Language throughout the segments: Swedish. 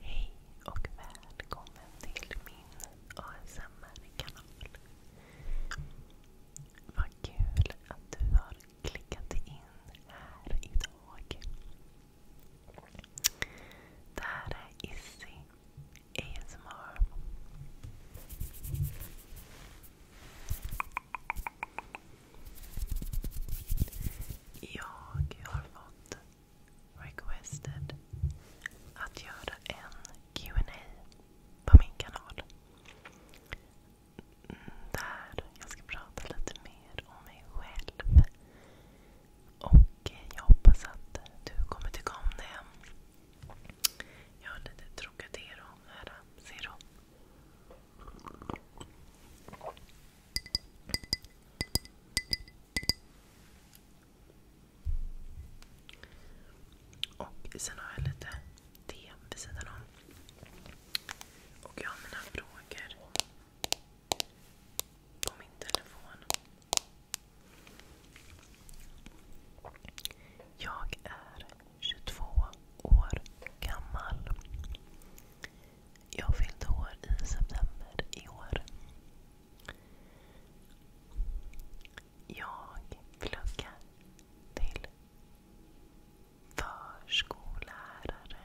Hej och välkommen till min ASMR-kanal. Vad kul att du har klickat in här idag. Det här är Issy ASMR. Jag har fått requested att göra en Q&A på min kanal. Där jag ska prata lite mer om mig själv. Och jag hoppas att du kommer tycka om det. Jag har lite Trocadero här. Zero. Och sen har jag lite te vid sidan om. Och jag har mina frågor på min telefon. Jag är 22 år gammal. Jag fyllde år i september i år. Jag pluggar till förskollärare.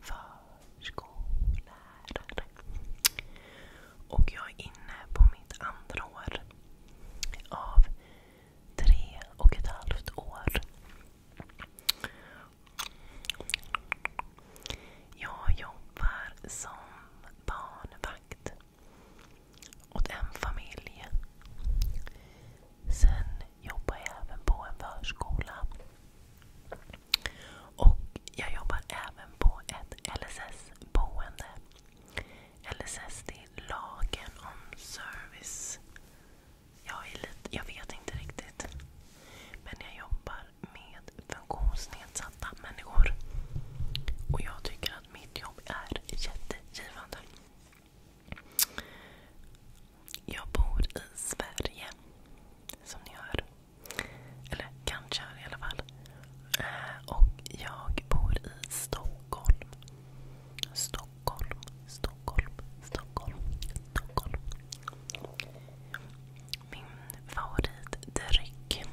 Förskollärare. Och jag är inne på mitt andra år av tre och ett halvt år jag jobbar som barnvakt åt en familj. Sen jobbar jag även på en förskola. Och jag jobbar även på ett LSS-boende. LSS det är lagen om service jag, vet inte riktigt. Men jag jobbar med funktionsnedsatta människor. Och jag tycker att mitt jobb är jättegivande. Jag bor i Sverige, som ni hör. Eller kanske i alla fall. Eh, och jag bor i Stockholm. Stockholm, Stockholm, Stockholm, Stockholm. Min favoritdryck.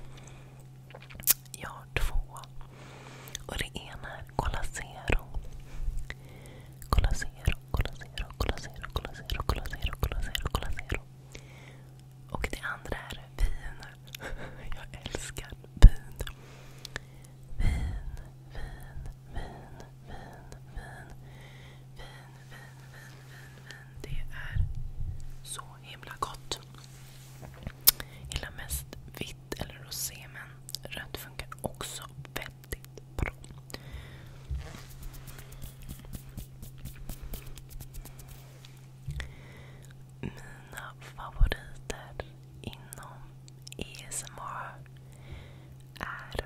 Jag har två. Och det ena är Cola Zero. Cola Zero, Cola Zero, Cola Zero, Cola Zero, Cola Zero, Cola Zero, Och det andra är vin. Jag älskar vin. Vin, vin, vin, vin, vin, vin, vin, vin, vin. Det är så himla gott. Jag gillar mest vitt eller rosé, men rött funkar också väldigt bra. Mina favoriter inom ASMR är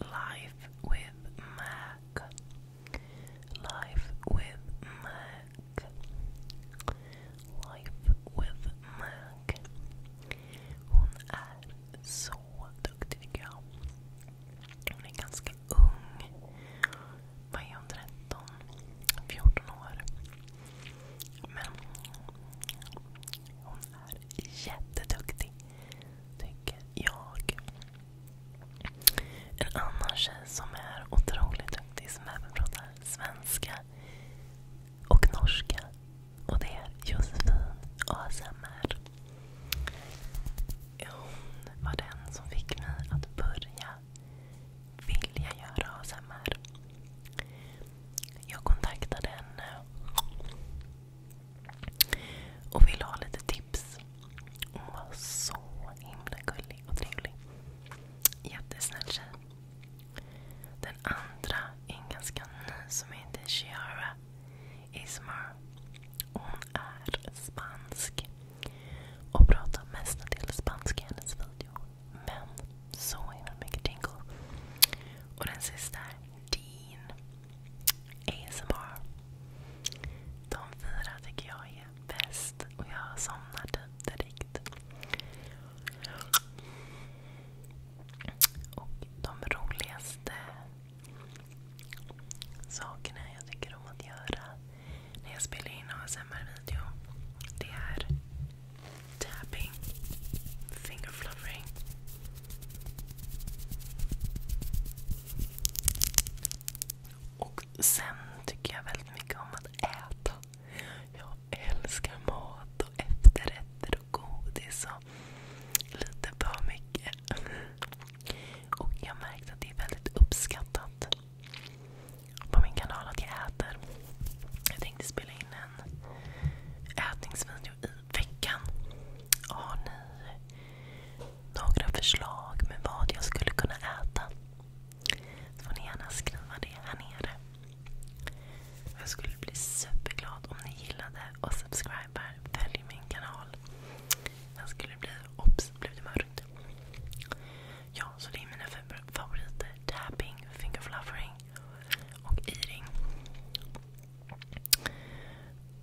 Life with Mac. Life with Mac. Life with Mac. Hon är så duktig tycker jag. Hon är ganska ung. Vad är hon? 13? 14 år. Men hon är jätteduktig. Tycker jag. En annan tjej som är otroligt duktig som även pratar svenska och norska. Och det är Josefin ASMR. Hon var den som fick mig att börja vilja göra ASMR. Jag kontaktade henne och ville ha lite tips. Hon var så himla gullig och trevlig. Jättesnäll tjej. Den andra är en ganska ny som heter Chiara Ismar. Hon är spansk och pratar mestadels spanska i hennes video. Men så himla mycket tingle. Och den sista är Dean. ASMR. De fyra tycker jag är bäst och jag somnar typ direkt. Och de roligaste sakerna jag tycker om att göra när jag spelar in ASMR-video det är tapping, finger fluffering och sen tycker jag väldigt mycket om att äta. Jag älskar mat och efterrätter och godis och lite för mycket. Och jag märkte att det är väldigt uppskattat på min kanal att jag äter. Jag tänkte spela in en ätningsvideo nu i veckan. Har ni några förslag med vad jag skulle kunna äta? Så får ni gärna skriva det här nere. Jag skulle bli superglad om ni gillade och subscribar. Följ min kanal. Jag skulle bli... Ops, blev det mörkt? Ja, så det är mina favoriter. Tapping, fingerfluffering och eating.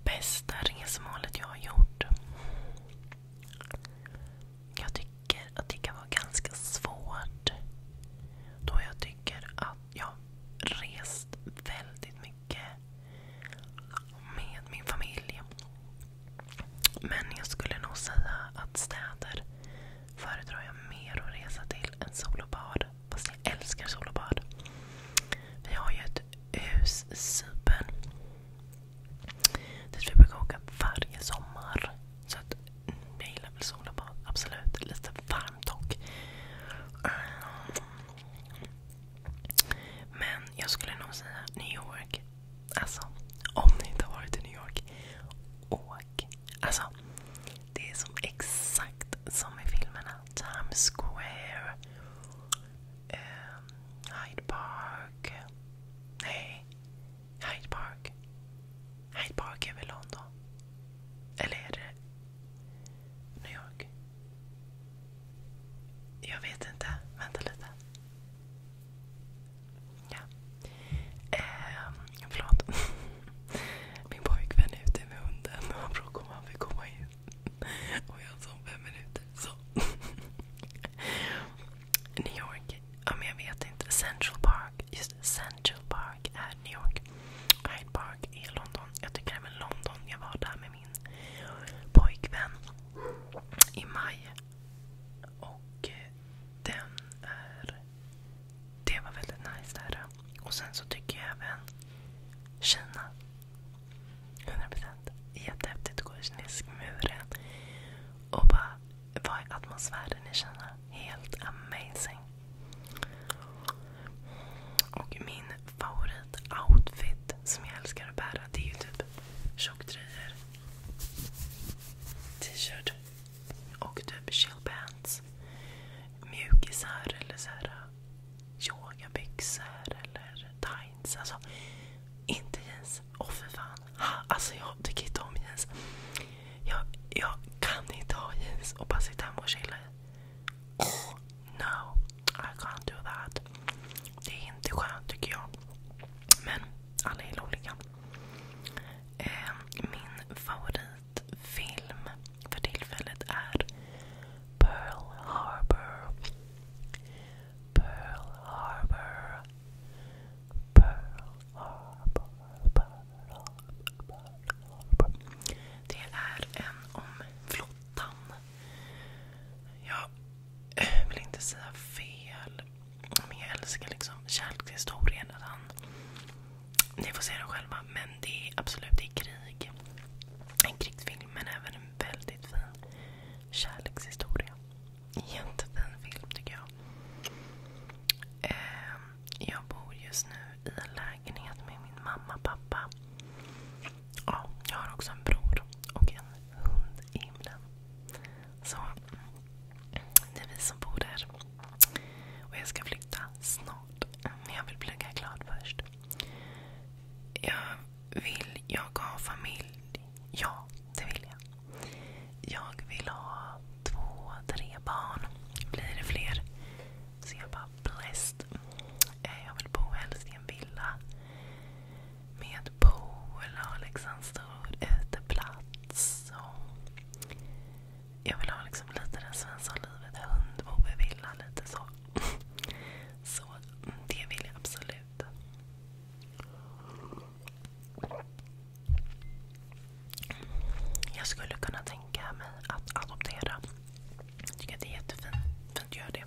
Bästa resmålet jag har gjort? Jag tycker att det kan vara ganska svårt. Då jag tycker att jag rest väldigt mycket med min familj. Men jag skulle nog säga att städer föredrar jag mer att resa till än sol och bad. Fast jag älskar sol och bad. Vi har ju ett hus i Cypern. Dit vi brukar åka varje sommar. Så jag gillar väl sol och bad. Absolut. Lite varmt dock. Men jag skulle nog säga New York. Alltså, om ni inte har varit i New York, åk. Alltså, det är som exakt som i filmerna Times Square, eh, Hyde Park. Nej, Hyde Park. Hyde Park är väl London? Eller är det New York? Jag vet inte. Vänta lite. Ja. Eh, förlåt. Min pojkvän är ute med hunden och han frågar om han vill komma in. Och jag sov fem minuter. New York. jag vet inte. Central Park. Just Central Park är New York. Hyde Park är London. Jag tycker även London. Jag var där med min pojkvän i maj. Och eh, den är... Det var väldigt nice där. Och sen så tycker jag även Kina. 100%. Jättehäftigt att gå i kinesisk muren. Och bara, vara i atmosfären i Kina? Helt amazing. Och min favoritoutfit som jag älskar att bära det är ju typ tjocktröjor, t-shirt och typ chillpants. Mjukisar eller såhär yogabyxor eller tights. Alltså, inte jeans. Åh oh, för fan. Ha, alltså jag tycker inte om jeans. Jag, jag kan inte ha jeans och bara sitta hemma och chilla i. Oh, no. I can't do that. Det är inte skönt tycker jag. Men alla är olika. Eh, min favorit film för tillfället är Pearl Harbor. Pearl Harbor. Pearl Harbor. Pearl Harbor. Det är en om flottan. Jag vill inte säga fel. Men jag älskar liksom kärlekshistorien. ni får se den själva. Men det är absolut i krig. En krigsfilm men även en väldigt fin kärlekshistoria. Jättefin film tycker jag. Ehm, jag bor just nu i en lägenhet med min mamma och pappa. jag har också en bror och en hund i himlen. det är vi som bor där. jag ska flytta snart. Men jag vill plugga klart först. Jag vill jag ha familj? Ja, det vill jag. Jag vill ha två, tre barn. Blir det fler så jag bara blessed. Eh, jag vill bo i en villa med pool och liksom stor uteplats. jag vill ha liksom lite den svenska livet. Hundbo villa lite så. Så det vill jag absolut. Jag skulle kunna tänka mig att adoptera. Jag tycker att det är jättefint att göra det.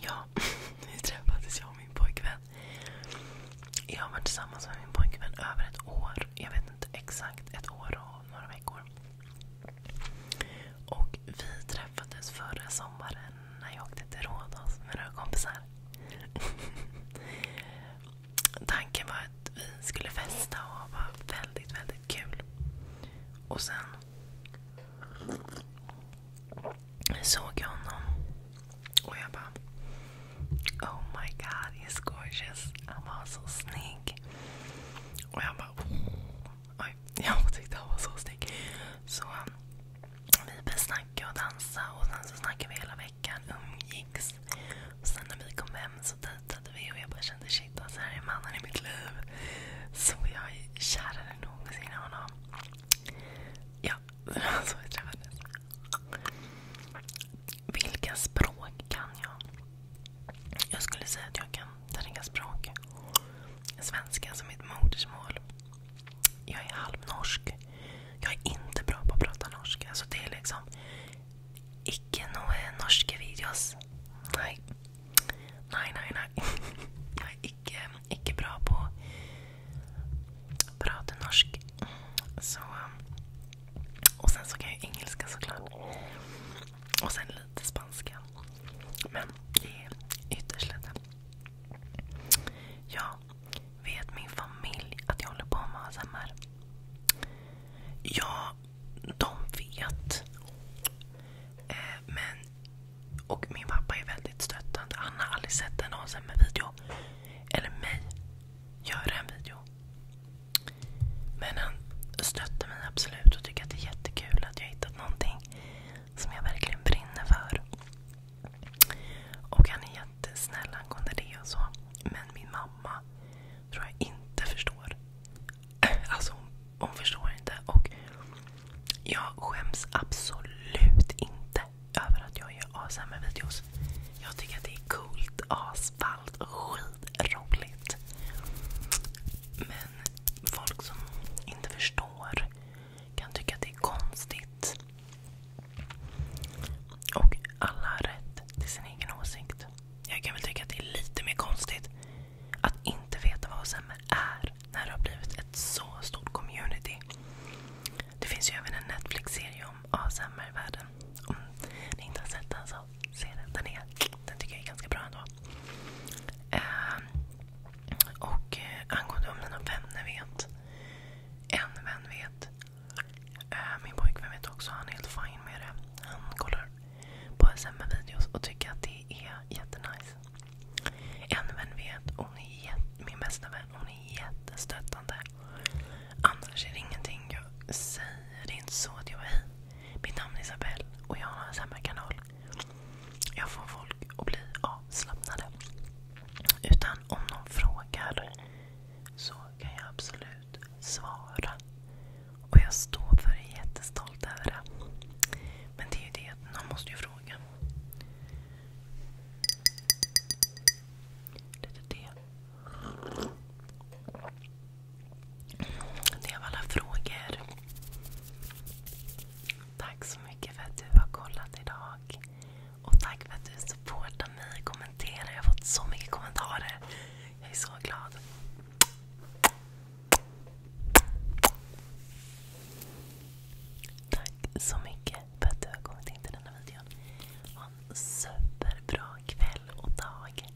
Ja, nu träffades jag och min pojkvän. Jag har varit tillsammans med min pojkvän över ett år. Jag vet inte exakt, ett år och några veckor. Och vi träffades förra sommaren när jag åkte till Rhodos med några kompisar. Tanken var att vi skulle festa och ha väldigt, väldigt kul. Och sen såg jag honom och jag bara Oh my god, he's gorgeous. Han var så snygg. Och jag bara... Oj, jag tyckte han var så snygg. Så um, vi började snacka och dansa och sen så snackade vi hela veckan. Umgicks. Och sen när vi kom hem så dejtade vi och jag bara kände shit alltså här är mannen i mitt liv. Så jag är kärare än någonsin i honom. Ja, det var så vi träffades. Vilka språk kan jag? Jag skulle säga att jag kan tre språk. Svenska som mitt modersmål. Jag är halvnorsk. Jag är inte bra på att prata norska. Alltså det är liksom icke några norska videos. Nej. Nej, nej, nej. Jag är icke, icke bra på att prata norsk. Så, och sen så kan jag engelska såklart. Och sen lite spanska. Men det är ytterst lite. Ja, vet min familj att jag håller på med ASMR? Ja, de vet. Eh, men, och min pappa är väldigt stöttande. Han har aldrig sett en ASMR-video. Eller mig göra en video. Men han stöttar mig absolut och tycker att det är jättekul att jag hittat någonting som jag verkligen brinner för. Och han är jättesnäll angående det och så. Men min mamma tror jag inte förstår. Alltså hon, hon förstår inte. Och jag skäms absolut inte över att jag gör ASMR-videos. Jag tycker att det är coolt, asfall allt. Skitroligt. Men folk som inte förstår kan tycka att det är konstigt. Och alla har rätt till sin egen åsikt. Jag kan väl tycka att det är lite mer konstigt att inte veta vad ASMR är när det har blivit ett så stort community. Det finns ju även en Netflix-serie om ASMR-världen. Om ni inte har sett den så den, tycker jag är ganska bra ändå. Ehm, eh, angående om mina vänner vet. En vän vet. Eh, min pojkvän vet också. Han är helt fin med det. Han kollar på SMM-videos och tycker att det är jättenice. En vän vet. min bästa vän. Hon är jättestöttande. Annars är det ingenting jag säger. Det är inte så att jag är mitt namn är Isabelle och jag har en SMR-kanal. Jag får folk att bli avslappnade. Utan om någon frågar så kan jag absolut svara. Och jag står för det, jättestolt över det. Men det är ju det, någon måste ju fråga. Lite te. Det var alla frågor. Tack så mycket för att du har kollat idag. Och tack för att du supportar mig och kommenterar. Jag har fått så mycket kommentarer. Jag är så glad. Tack så mycket för att du har kommit in till denna videon. Ha en superbra kväll och dag.